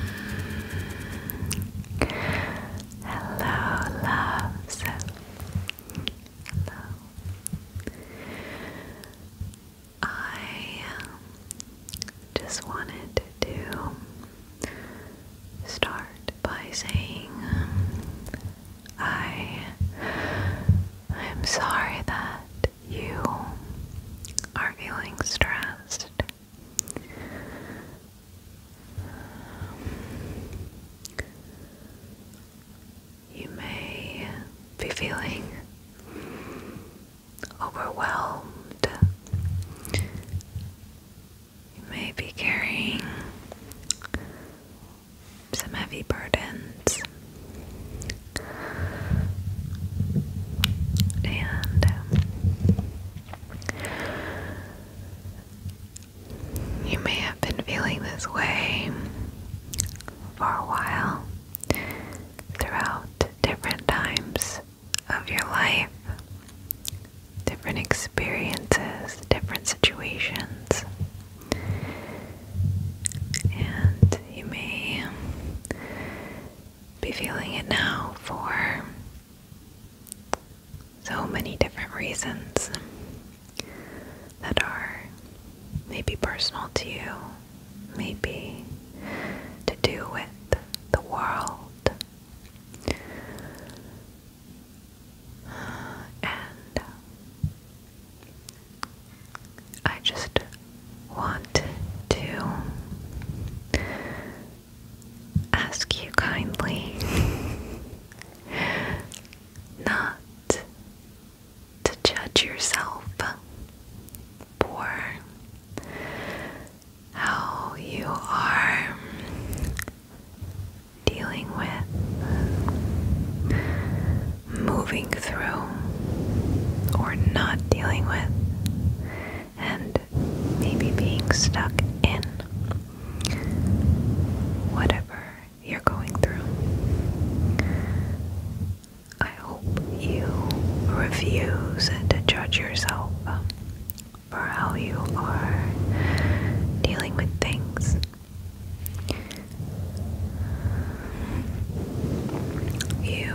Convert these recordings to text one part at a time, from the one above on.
Hello, loves. I um, just wanted to start by saying I'm sorry that you are feeling stressed you may be feeling overwhelmed. You may be carrying some heavy burdens. And you may have been feeling this way for a while throughout different times of your life, different experiences, different situations, and you may be feeling it now for so many different reasons that are maybe personal to you, maybe to do with the world. And I just want to ask you kindly not to judge yourself for how you are dealing with, moving through, or not dealing with, and maybe being stuck in whatever you're going through. I hope you refuse to judge yourself um, for how you are dealing with things. You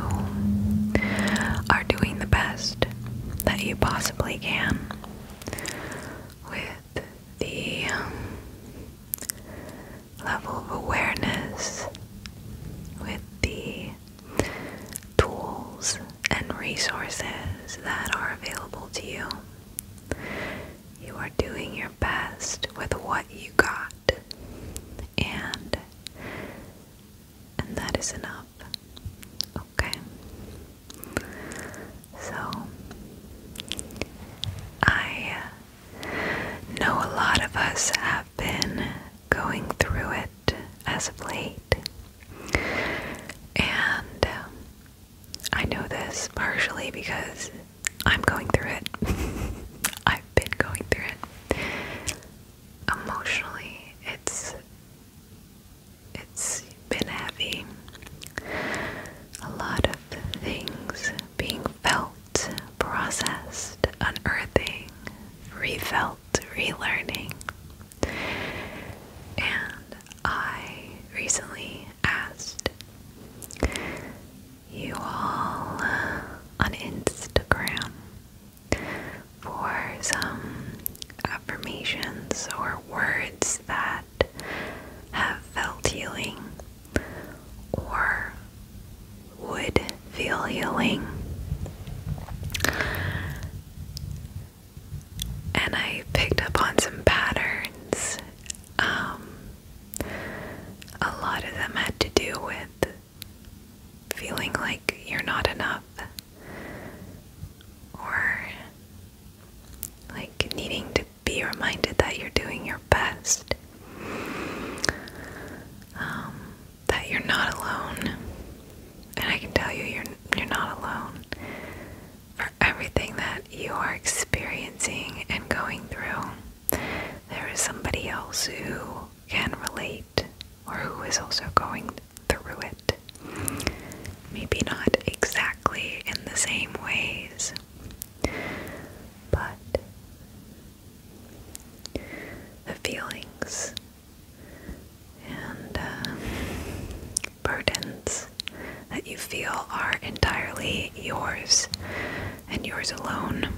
are doing the best that you possibly with the um, level of awareness, with the tools and resources that are available to you. You are doing your best with what you got, and and that is enough. Okay. So, I know a lot of us have been going through it as of late. And um, I know this partially because I'm going through it. I've been going through it. Emotionally, it's it's been heavy. A lot of things being felt, processed, unearthing, refelt, relearning. And I recently asked you all on Instagram for some affirmations or words that have felt healing or would feel healing. And I picked up on some patterns. Um, a lot of them had to do with feeling like you're not enough or like needing to be reminded that you're doing your best, um, that you're not alone. And I can tell you, you're you're not alone for everything that you are experiencing and going through. There is somebody else who can relate, or who is also going through it. Maybe not exactly in the same ways, but the feelings and um, burdens that you feel are entirely yours and yours alone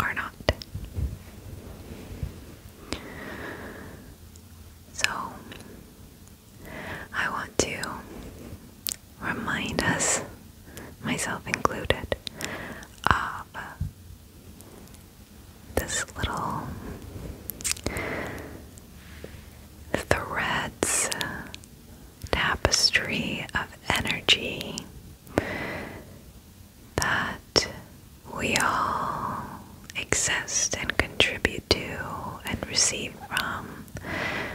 are not. So, I want to remind us, myself included, of this little threads tapestry of energy that we all exist and contribute to and receive from,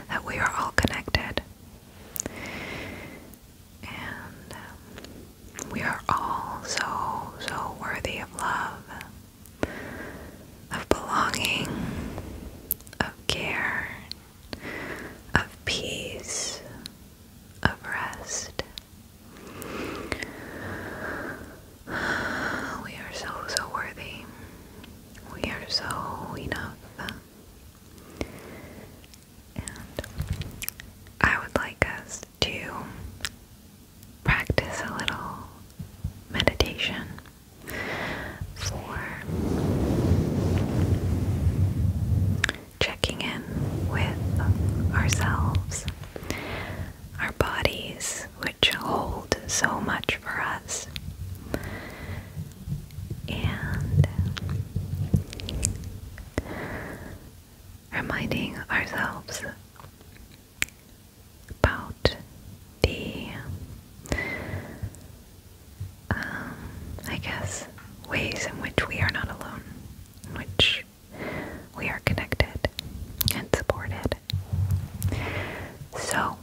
that we are all connected. And um, we are all so, so worthy of love, of belonging, of care, of peace, of rest, We are so, so worthy. We are so enough. And I would like us to practice a little meditation for checking in with ourselves our bodies, which hold so much for us. And reminding ourselves about the, um, I guess, ways in which we are not alone, which we are connected and supported. So,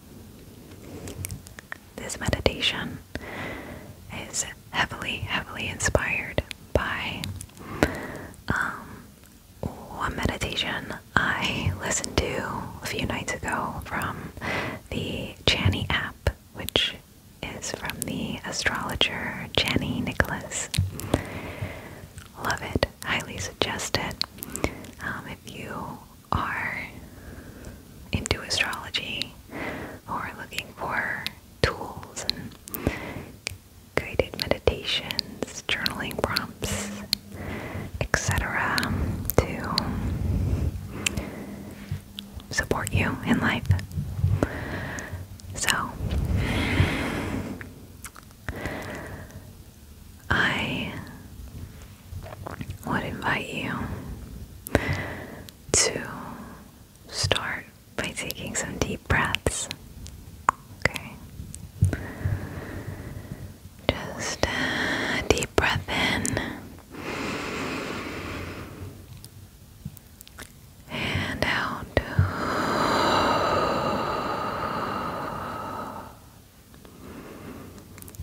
this meditation is heavily, heavily inspired by um, one meditation I listened to a few nights ago from the Chani app, which is from the astrologer Jenny Nicholas. Love it. Highly suggest it. Um, if you are into astrology or looking for tools and guided meditations, journaling prompts, etc., to support you in life. So, I would invite you to start by taking some deep breaths. Okay. Just a uh, deep breath in and out.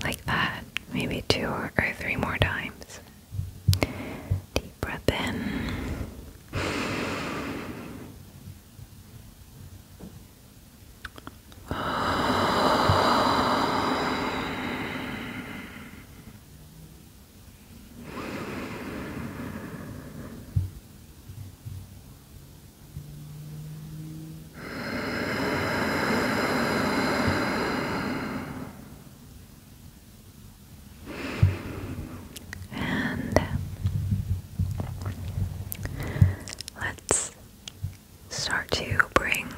Like that, maybe two or three more times. Deep breath in. And let's start to bring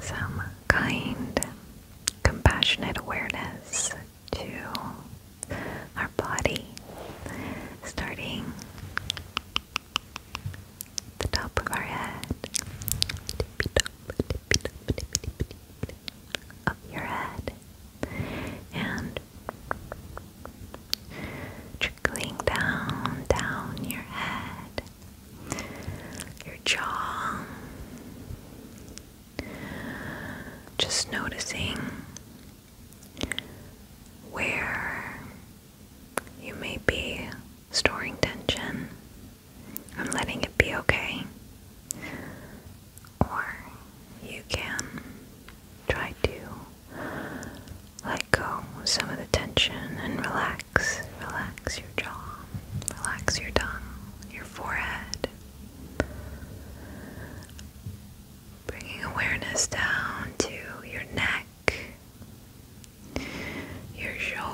some kind, compassionate awareness to our body, starting the top of our head, up your head, and trickling down, down your head, your jaw. Just noticing where you may be storing tension and letting it be okay. Or you can try to let go some of the tension and relax. Relax your jaw, relax your tongue, your forehead. Bringing awareness down to your neck, your shoulders,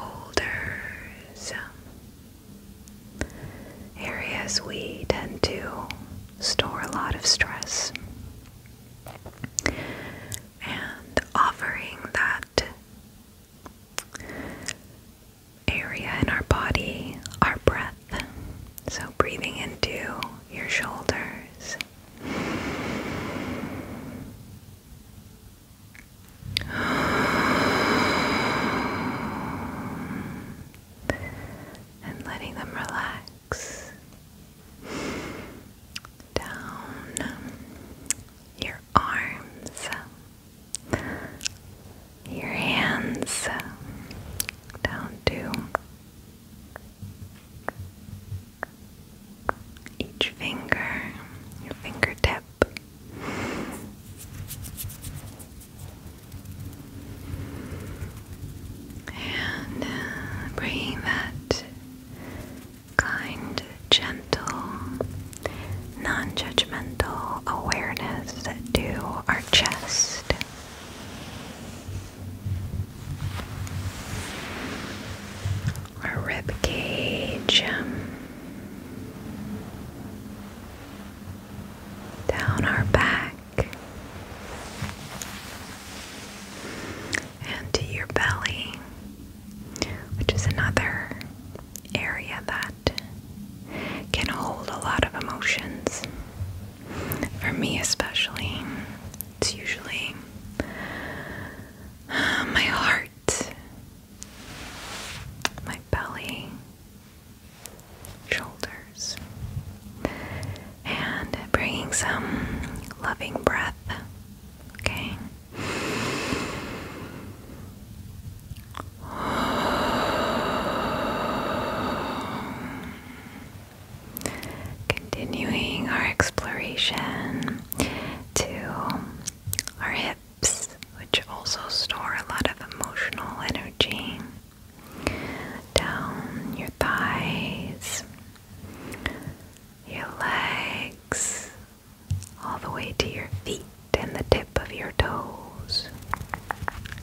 um, areas we tend to store a lot of stress, and offering that area in our body, our breath. So, breathing into your shoulders. And letting them relax down your arms, your hands, down to each finger, your fingertip. And uh, bringing that kind, gentle, non judgmental awareness to our chest. Our rib cage um, down our back and to your belly, which is another area that can hold a lot of emotions. For me, especially, it's usually uh, my heart, my belly, shoulders, and bringing some loving breath. Okay. Continuing our exploration to our hips, which also store a lot of emotional energy, down your thighs, your legs, all the way to your feet and the tip of your toes.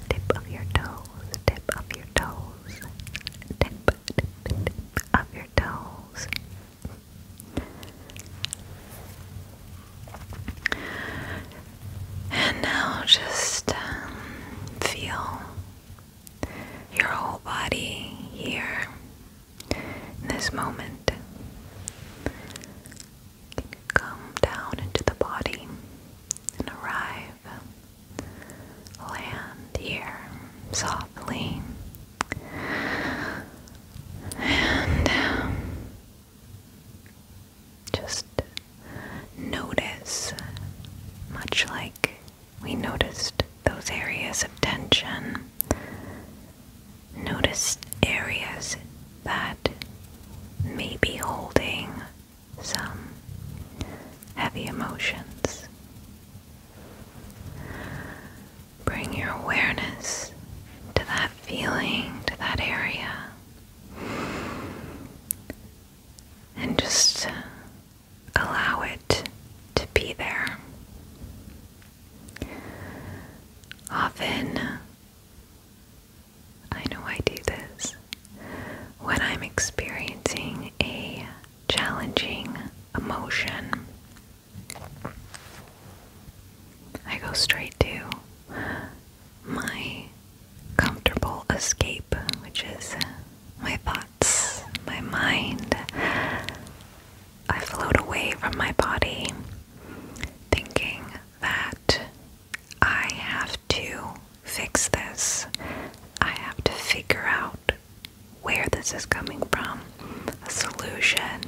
Tip of your toes, tip of your toes, tip, of your toes. And now just um, feel your whole body here in this moment. Come down into the body and arrive Land here softly and um, just notice, much like we noticed those areas of tension, notice areas that may be holding some heavy emotions Bring your awareness to that feeling, to that area, and just allow it to be there. Often, I know I do this when I'm experiencing a challenging emotion. I go straight to my comfortable escape, which is my thoughts, my mind. I float away from my body, thinking that I have to fix this. I have to figure out where this is coming from, a solution,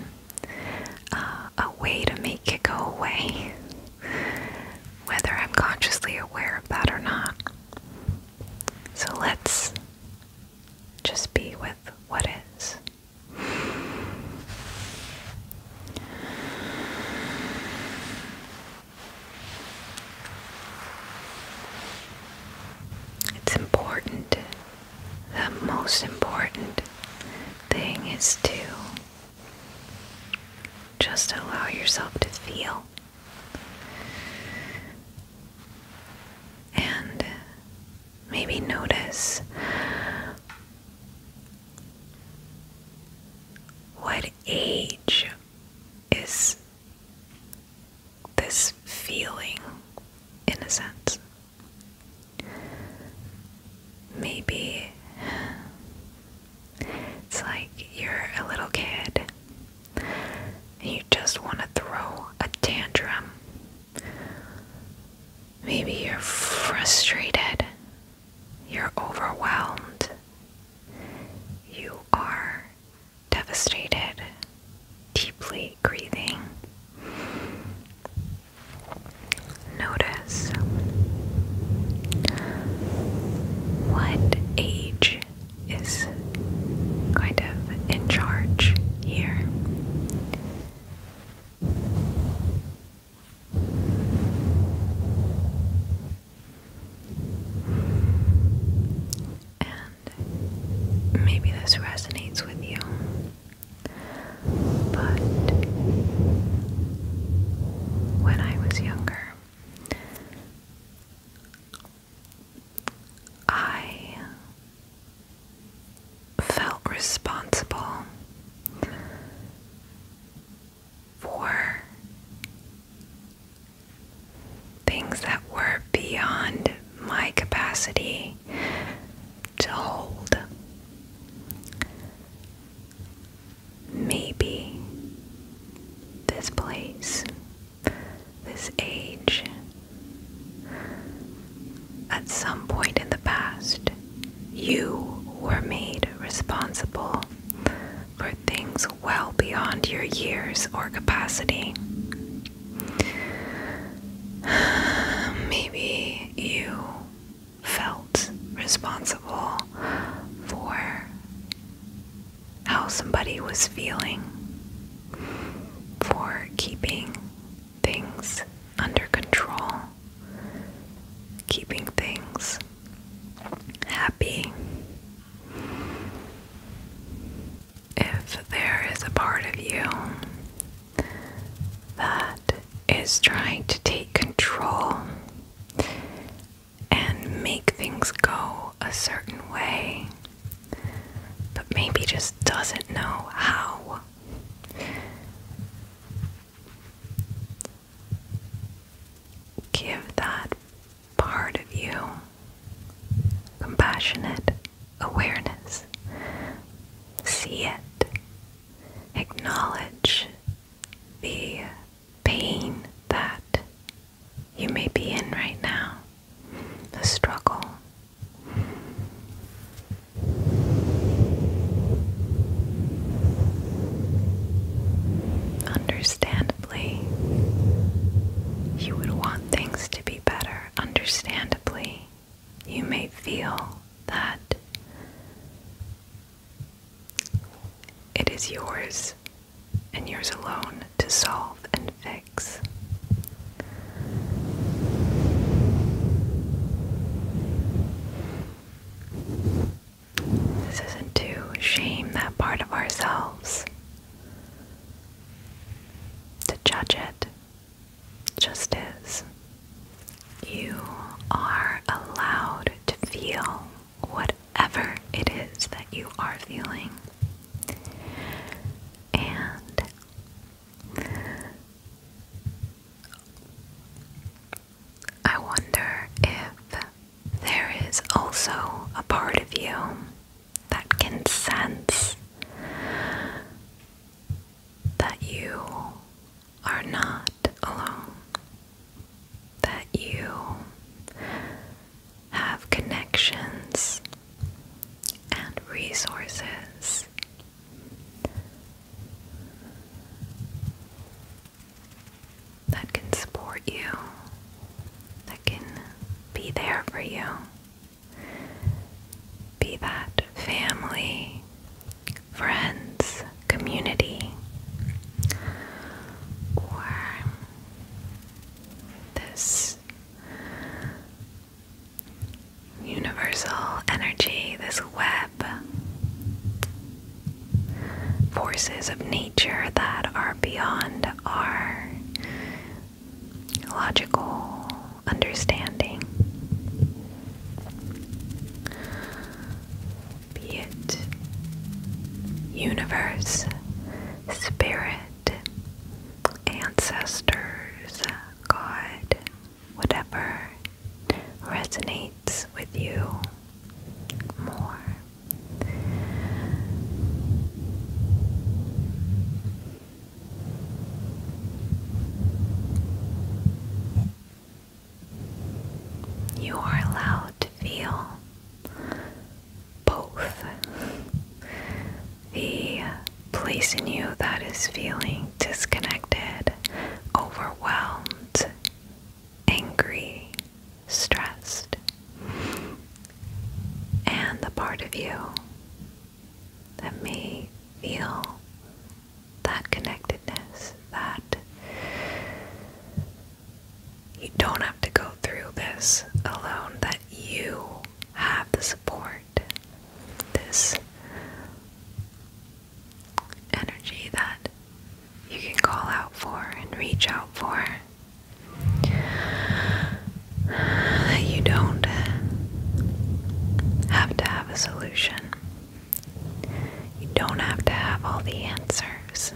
uh, a way to make it go away, whether I'm consciously aware of that or not. So let's just be with what is. It's important. The most important thing is to just allow yourself to feel. And maybe notice what age is this feeling in a sense. Maybe it's like you're a little kid and you just want to throw a tantrum. Maybe you're frustrated, you're overwhelmed, you are devastated, deeply grieving. Notice what age is kind of in charge here and maybe this resonates with you, but when I was younger, I felt responsible for things that were beyond my capacity to hold. Maybe this place, this age, at some point in the past, you were made responsible for things well beyond your years or capacity. Maybe you felt responsible for how somebody was feeling, for keeping things under control, keeping things happy if there is a part of you that is trying to take control and make things go a certain way, but maybe just doesn't know how. Give that part of you. Compassionate awareness. See it. Acknowledge the pain that you may be in right now, the struggle. Understandably, you would want things to be better understandably, you may feel that it is yours and yours alone to solve and fix. This isn't to shame that part of ourselves to judge it just is. You are allowed to feel whatever it is that you are feeling. And I wonder if there is also a part of you that can sense that you are not alone, that you have connections and resources. That can support you, that can be there for you, be that family, friends, community, or this universal energy, this web, forces of nature that are beyond our logical understanding. Be it universe, spirit, ancestors, God, whatever resonates with you more. You are allowed to feel both the place in you that is feeling disconnected, overwhelmed, angry, stressed, and the part of you that may feel that connectedness, that you don't have to go through this alone, that you have the support, this energy that you can call out for and reach out for you don't have to have a solution. You don't have to have all the answers.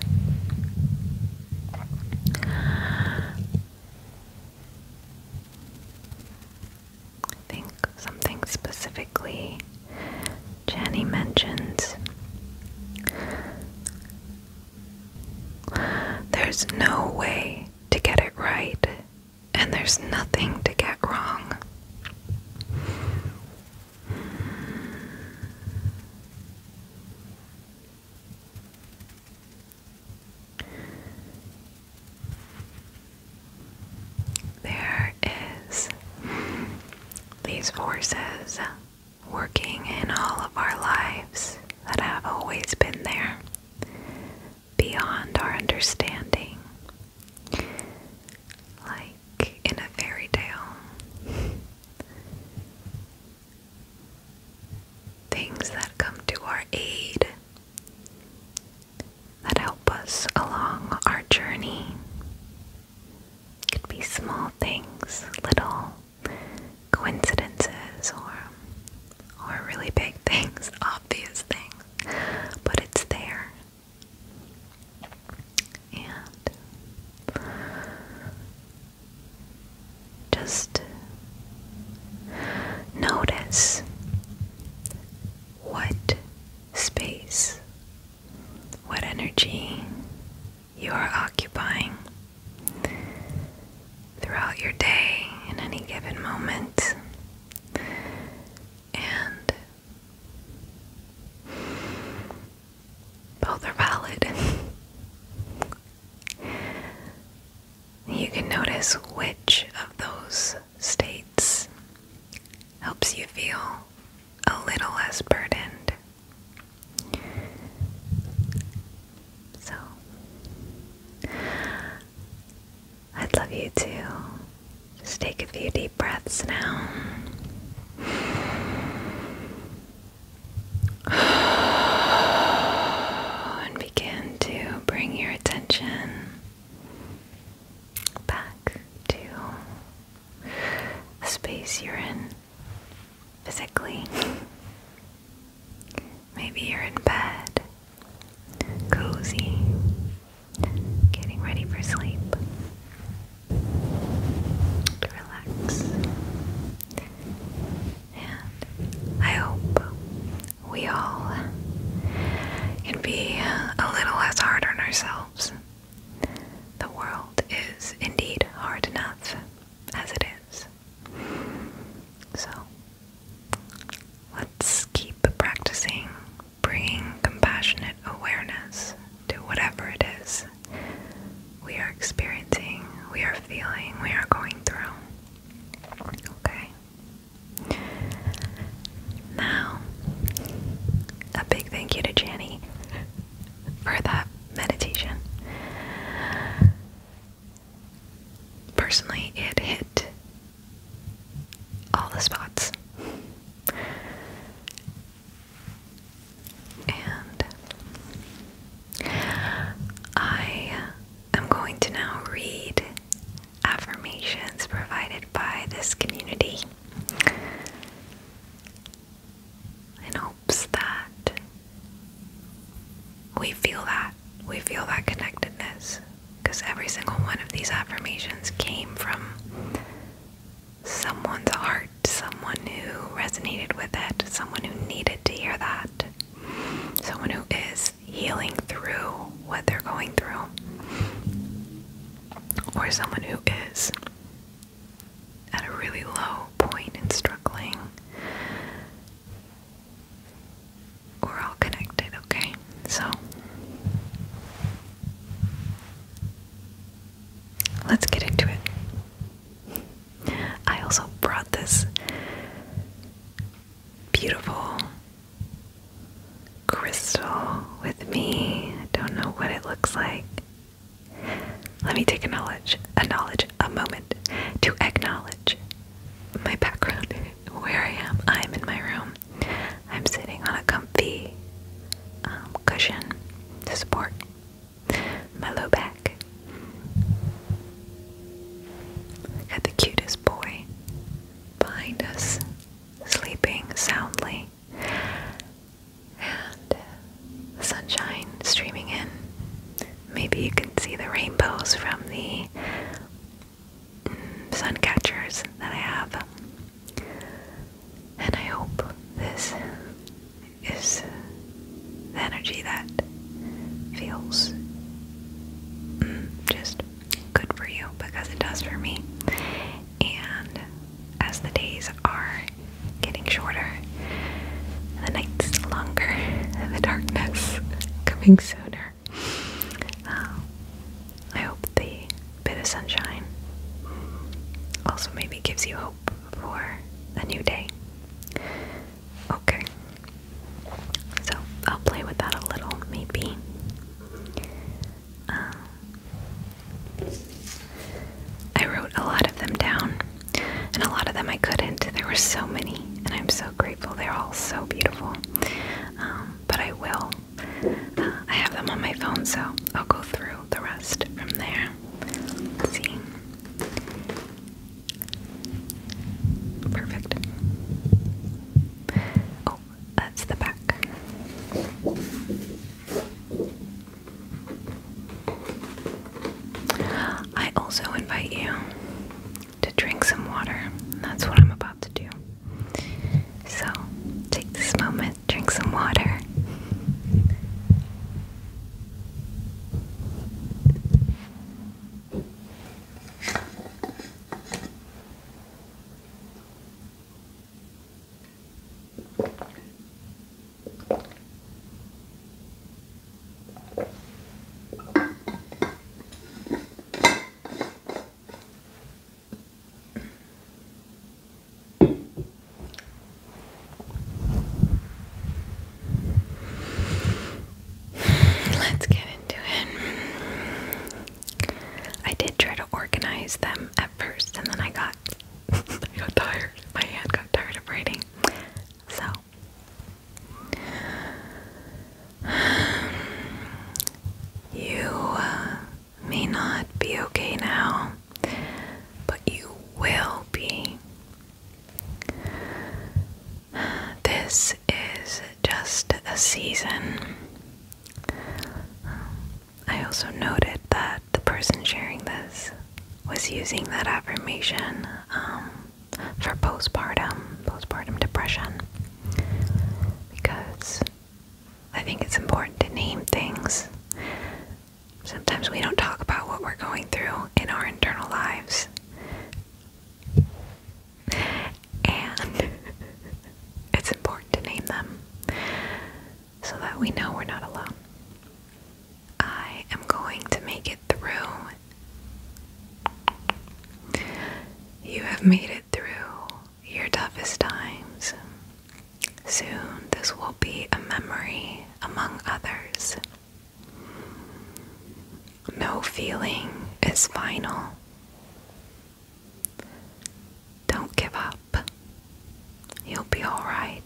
think something specifically Jenny mentions. There's no way to get it right and there's nothing to get wrong. There is these forces working in all of our lives that have always been there beyond our understanding, like in a fairy tale. Things that come to our aid, that help us along our journey. Could be small things, little coincidences, or or really big things, obvious things, but it's there. And just notice what space, what energy you are occupying throughout your day in any given moment. And both are valid. you can notice which of those states helps you feel a little less burdened. So, I'd love you to just take a few deep breaths now. And begin to bring your attention back to the space you're in physically. Maybe you're in bed, cozy, getting ready for sleep. Relax. And I hope we all can be a little less hard on ourselves. The world is indeed hard enough as it is. So, Let's keep practicing bringing compassionate awareness to whatever it is we are experiencing, we are feeling, we are going through. Okay. Now, a big thank you to Janny for that meditation. Personally, it hit all the spots. And I am going to now read affirmations provided by this community in hopes that we feel that we feel that connectedness because every single one of these affirmations came from someone's heart, someone who resonated with it, someone who needed to hear that, someone who is healing through what they're going through, or someone who is at a really low point and struggling we're all connected, okay? So let's get into it. I also brought this beautiful crystal with me. I don't know what it looks like. Let me take a knowledge, a knowledge, a moment to acknowledge my background, where I am. I'm in my room. Um, I'm sitting on a comfy um, cushion to support my low back. got the cutest boy behind us, sleeping soundly, and the uh, sunshine streaming in. Maybe you can see the rainbows from the sun catchers that I have. And I hope this is the energy that feels mm, just good for you because it does for me. And as the days are getting shorter, the nights longer, and the darkness coming sooner um, I hope the bit of sunshine also maybe gives you hope for a new day. Okay. So I'll play with that a little, maybe. Um, I wrote a lot of them down, and a lot of them I couldn't. There were so many, and I'm so grateful. They're all so beautiful. Um, but I will I have them on my phone, so I'll go through the rest from there. see. Perfect. Oh, that's the back. I also invite you to drink some water. That's what I'm about to do. So, take this moment, drink some water. Let's get into it. I did try to organize them at first, and then I got, got tired. My hand got tired of writing. So, you uh, may not be okay now, but you will be. This is just a season. I also noted that the person sharing this was using that affirmation um, for postpartum, postpartum depression, because I think it's important to name things. Sometimes we don't talk about what we're going through in our internal lives. And it's important to name them so that we know we're not alone. I am going to make it through. You have made it through your toughest times. Soon, this will be a memory among others. No feeling is final. Don't give up. You'll be alright.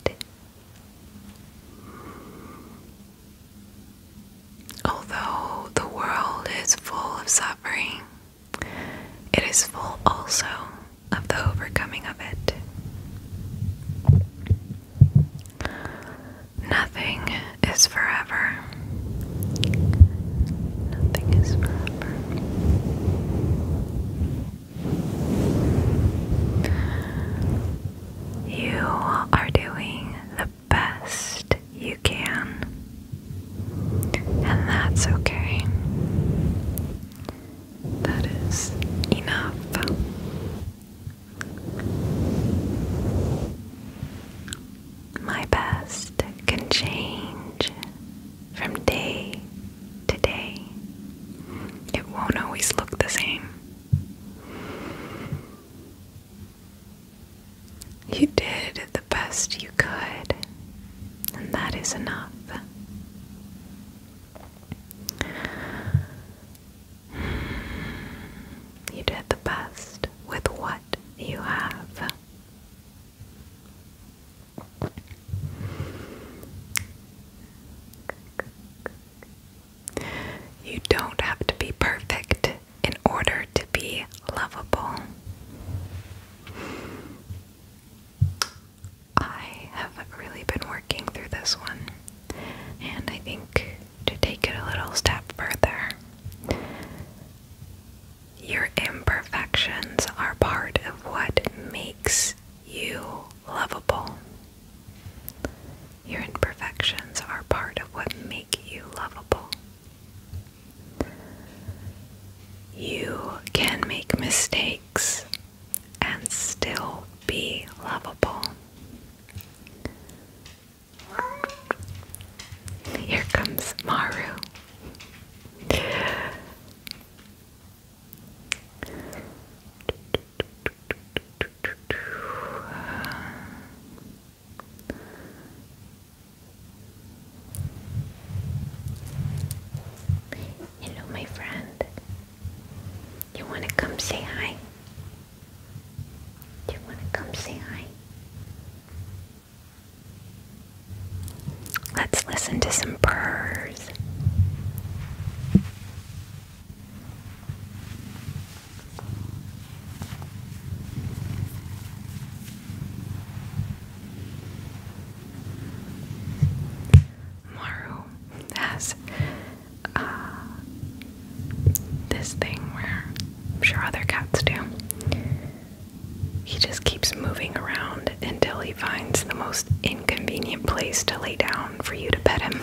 Although the world is full of suffering, it is full also of the overcoming of it. Nothing is forever. Nothing is forever. You are doing the best you can. And that's okay. That is enough. My best can change from day to day. It won't always look the same. You did the best you could, and that is enough. You did the best with what you have. You don't have to be perfect in order to be lovable. I have really been working through this one, and I think to take it a little step further, your imperfections are part of what makes you lovable. Your imperfections are part of what make you lovable. You can make mistakes and still be lovable. Here comes Maru. Hello, my friend. You want to come say hi? Do you want to come say hi? Let's listen to some purrs. Maru has uh, this thing where I'm sure other cats do. He just keeps moving around until he finds the most inconvenient place to lay down for you to pet him.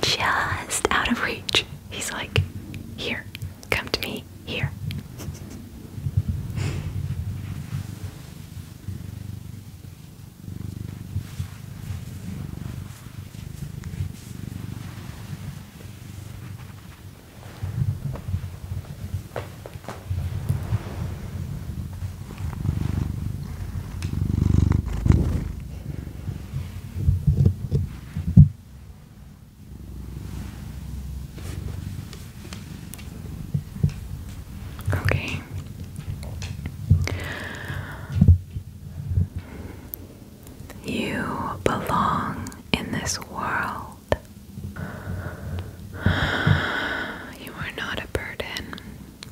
just out of reach. He's like, here, Come to me here. Okay. You belong in this world. You are not a burden.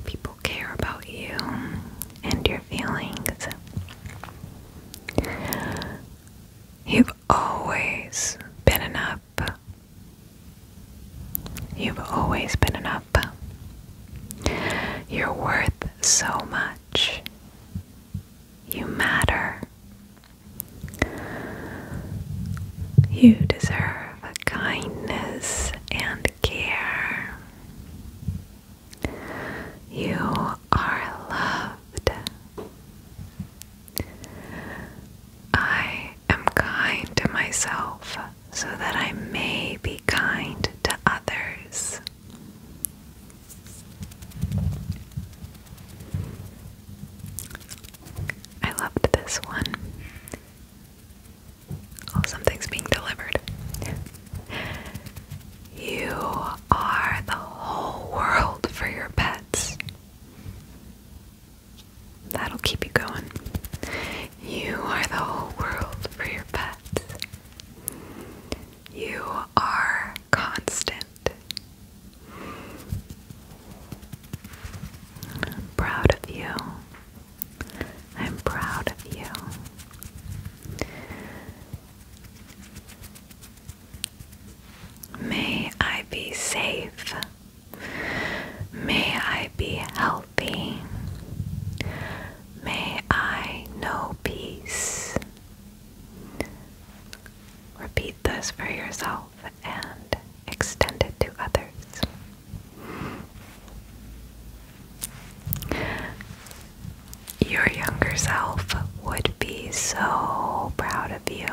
People care about you and your feelings. You've always been enough. You've always been enough. You're worth so much. You matter. You deserve kindness and care. You are loved. I am kind to myself so that I may be kind to others. I loved this one. Oh, something's being delivered. You are the whole world for your pets. That'll keep you going. You are the whole world for your pets. You are constant. I'm proud of you. I'm proud of you. May I be safe. May I be healthy. May I know peace. Repeat this for yourself and extend it to others. Your younger self would be so proud of you.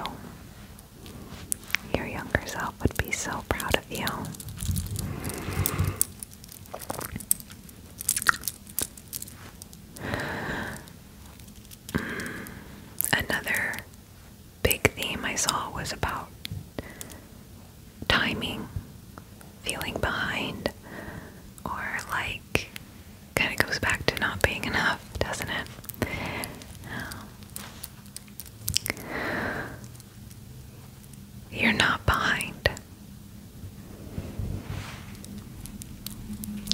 Your younger self would be so proud of you. Mm. Another big theme I saw was about timing, feeling behind, or like kind of goes back to not being enough, doesn't it? Um, you're not behind.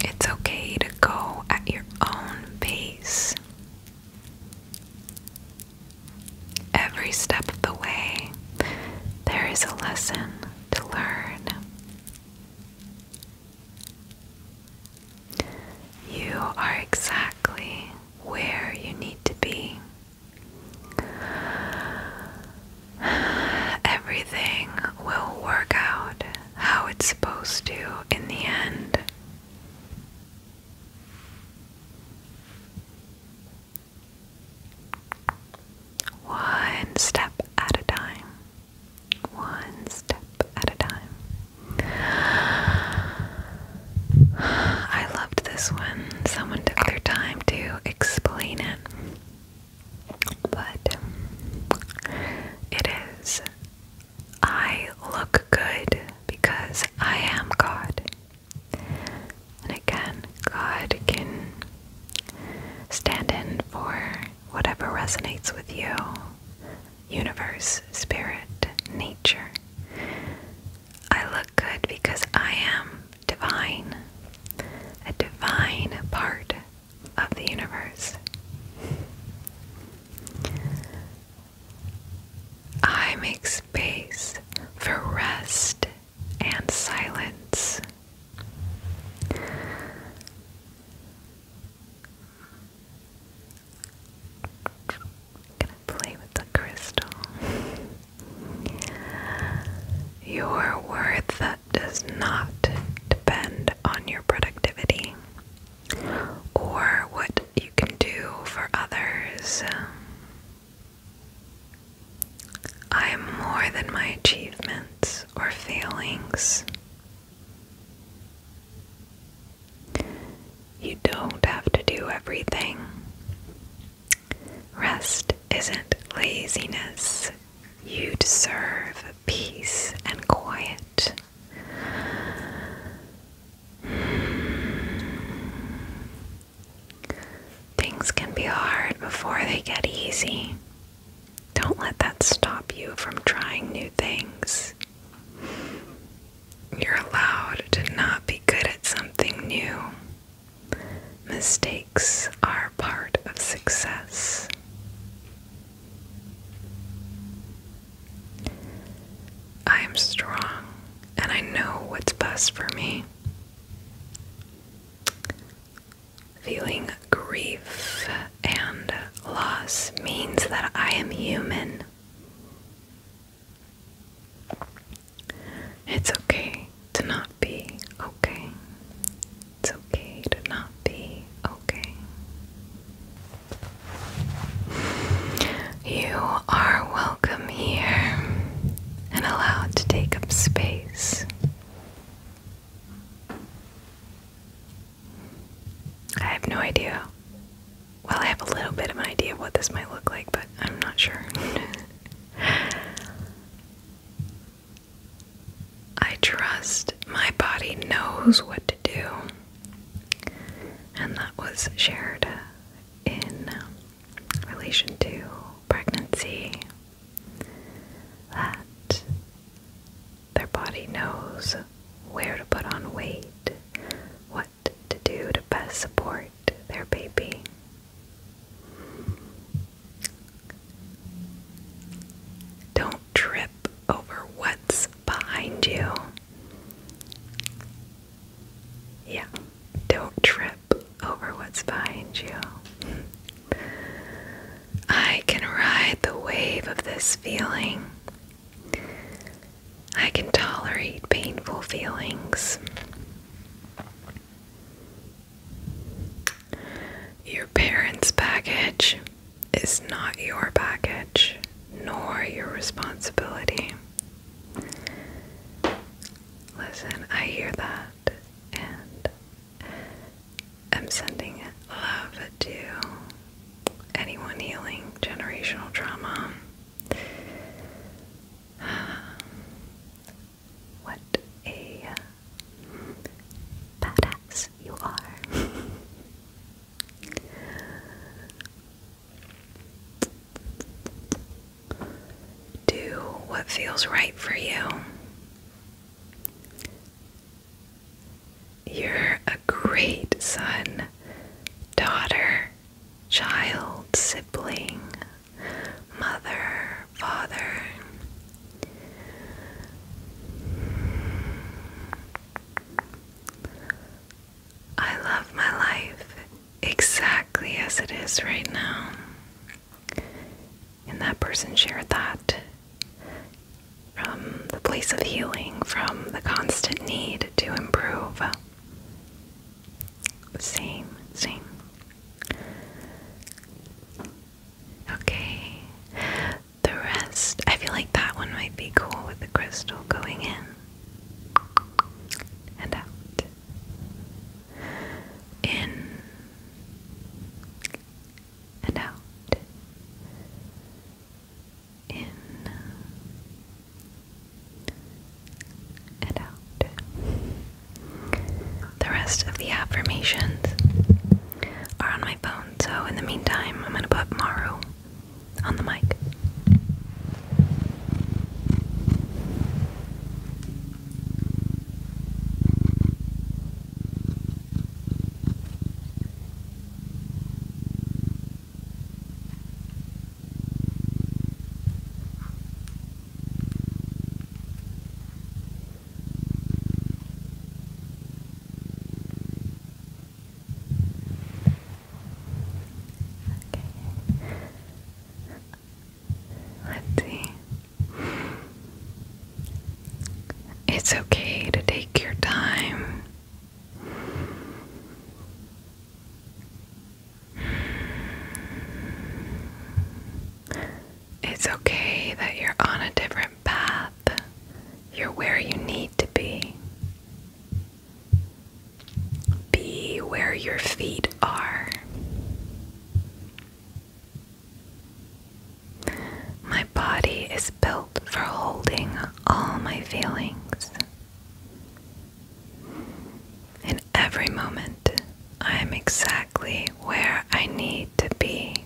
It's okay to go at your own pace. Every step of the way, there is a lesson to learn. You are exactly where you need to be. Everything will work out how it's supposed to in the end. One step at a time. One step at a time. I loved this one. Someone took their time to explain it. But it is I look good because I am God. And again, God can stand in for whatever resonates with you universe, spirit, nature. I look good because I am divine, a divine part of the universe. I make space for rest and silence. Gonna play with the crystal. Your worth does not depend on your productivity or what you can do for others. I am more than my achievements or failings. You don't have to do everything. Rest isn't laziness. You deserve peace and quiet. Things can be hard before they get easy. Don't let that stop you from trying new things. You're allowed to not be good at something new. Mistakes are part of success. I am strong and I know what's best for me. Feeling grief and loss means that I am human it's okay to not be okay. It's okay to not be okay. You are welcome here and allowed to take up space. I have no idea well, I have a little bit of an idea of what this might look like, but I'm not sure. I trust my body knows what to do. And that was shared in relation to pregnancy. That their body knows where to put on weight, What? to do to best support their baby. Don't trip over what's behind you. Yeah, don't trip over what's behind you. I can ride the wave of this feeling I can tolerate painful feelings. Your parents' package is not your package, nor your responsibility. Listen, I hear that, and I'm sending love to anyone healing generational trauma. What a badass you are. Do what feels right for you. You're a great son, daughter, child, sibling, mother, father. I love my life exactly as it is right now. And that person shared that from the place of healing, from the constant need to improve. Same, same. Okay. The rest, I feel like that one might be cool with the crystal going in and out. In and out in and out. The rest of the affirmations are on my phone, so in the meantime, I'm going to put Maru on the mic. Let's see. It's okay to take your time. It's okay that you're on a different path. You're where you need to be. Be where your feet are. My body is built for holding all my feelings. In every moment, I am exactly where I need to be.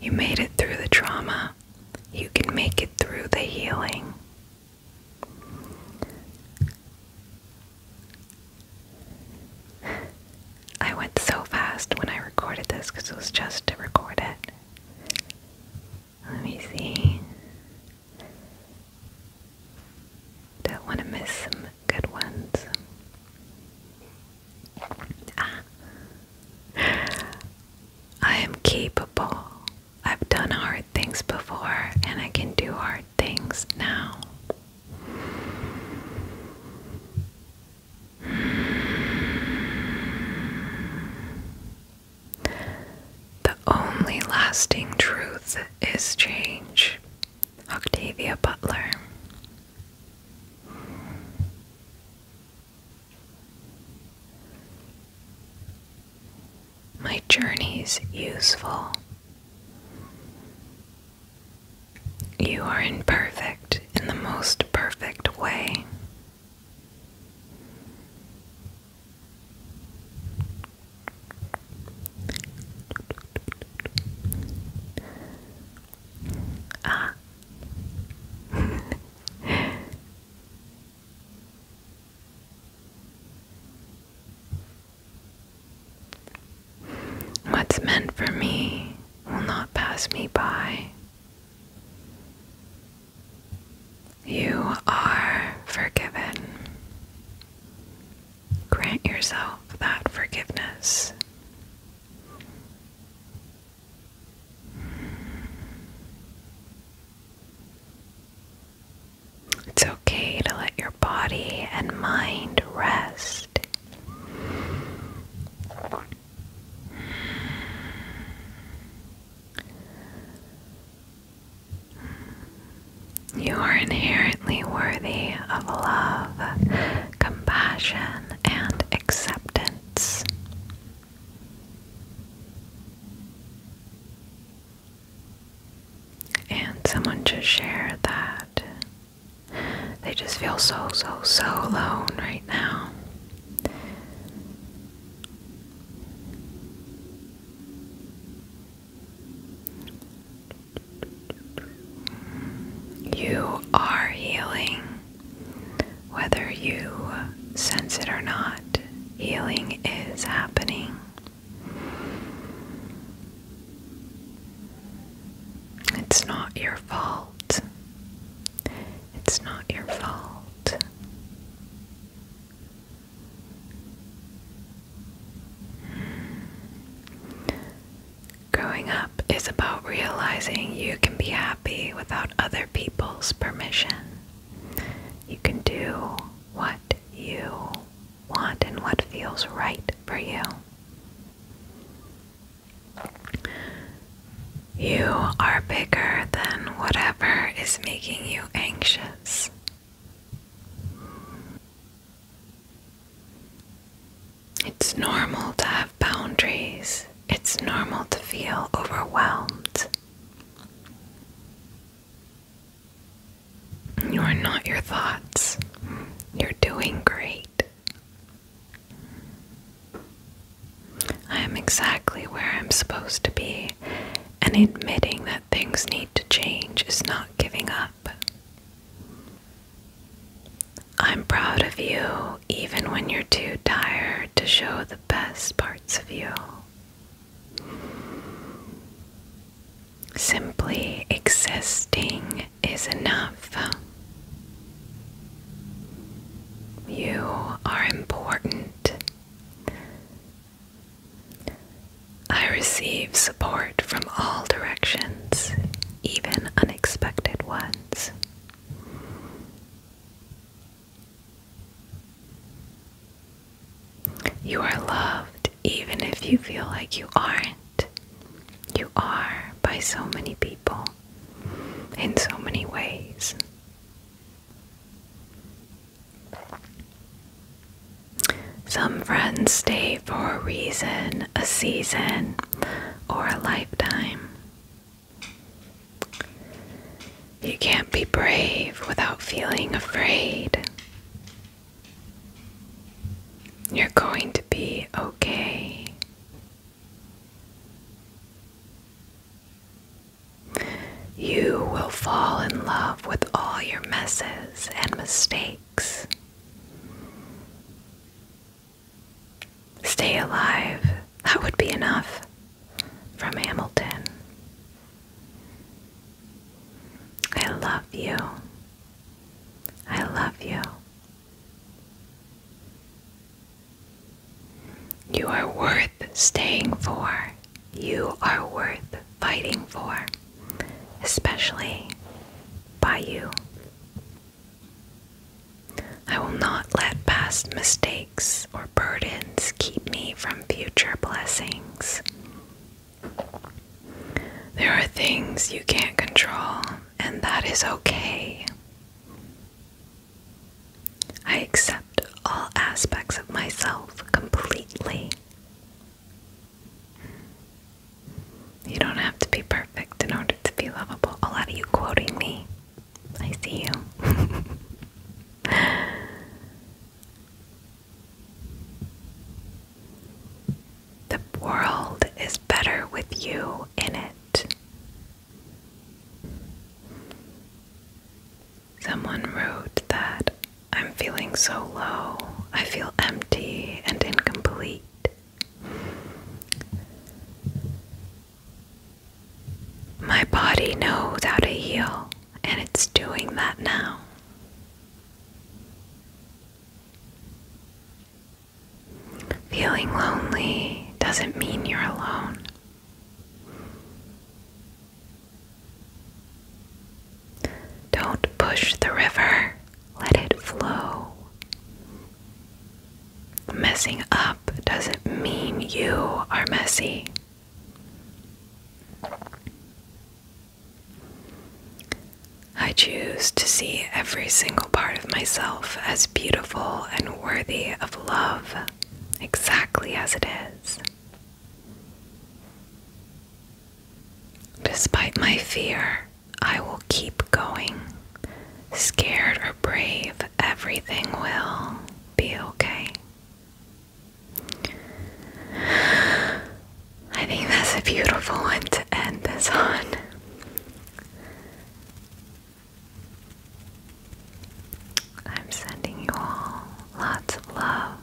You made it through the trauma. You can make it through the healing. I went so fast when I recorded this because it was just to record it. Let me see. Don't want to miss some good ones. Ah. I am capable. I've done hard things before, and I can do hard things now. The only lasting truth is change. Octavia Butler. My journey's useful. You are imperfect in the most perfect way. Ah. What's meant for me will not pass me by. You are forgiven. Grant yourself that forgiveness. It's okay to let your body and mind rest. You are inherently worthy of love, compassion, and acceptance. And someone just shared that they just feel so, so, so alone right now. You are healing, whether you sense it or not, healing is happening. It's not your fault. It's not your fault. Growing up is about realizing you can be happy without other people's permission. You can do what you want and what feels right for you. You are bigger than whatever is making you anxious. It's normal to have boundaries. It's normal to feel overwhelmed. You are not your thoughts. You're doing great. I am exactly where I'm supposed to be, and admitting that things need to change is not giving up. I'm proud of you, even when you're too tired to show the best parts of you. Simply existing is enough. You are important I receive support from all directions, even unexpected ones. You are loved even if you feel like you aren't. You are by so many people in so many ways. Some friends stay for a reason, a season, or a lifetime. You can't be brave without feeling afraid. You're going to be okay. You will fall in love with all your messes and mistakes. Stay alive, that would be enough. From Hamilton. I love you. I love you. You are worth staying for. You are worth fighting for, especially by you. I will not let past mistakes or burdens keep me from future blessings. There are things you can't control, and that is okay. I accept all aspects of myself completely. You don't have to be perfect in order to be lovable. A lot of you quoting me. I see you. the world is better with you in it. Someone wrote that I'm feeling so low, I feel empty and incomplete. My body knows how to heal, and it's doing that now. Feeling lonely doesn't mean you're alone. Don't push the river, let it flow. Messing up doesn't mean you are messy. I choose to see every single part of myself as beautiful and worthy of love, exactly as it is. Despite my fear, I will keep going. Scared or brave, everything will be okay. I think that's a beautiful one to end this on. I'm sending you all lots of love.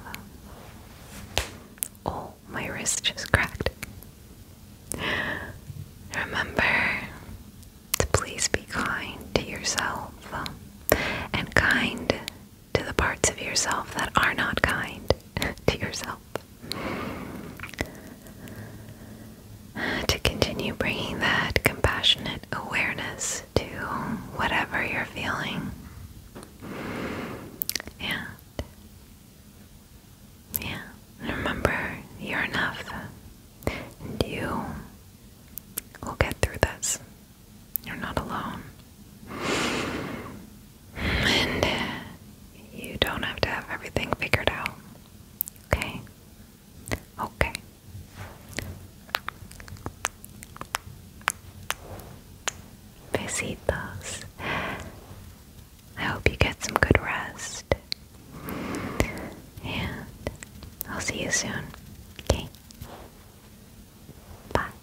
Oh, my wrist just cracked. Remember to please be kind to yourself and kind to the parts of yourself that are not kind to yourself. To continue bringing that compassionate awareness to whatever you're feeling. And yeah, remember you're enough and you will get through this. You're not alone. And uh, you don't have to have everything figured out. Okay? Okay. Besitos. I hope you get some good rest. And I'll see you soon. Okay? Bye.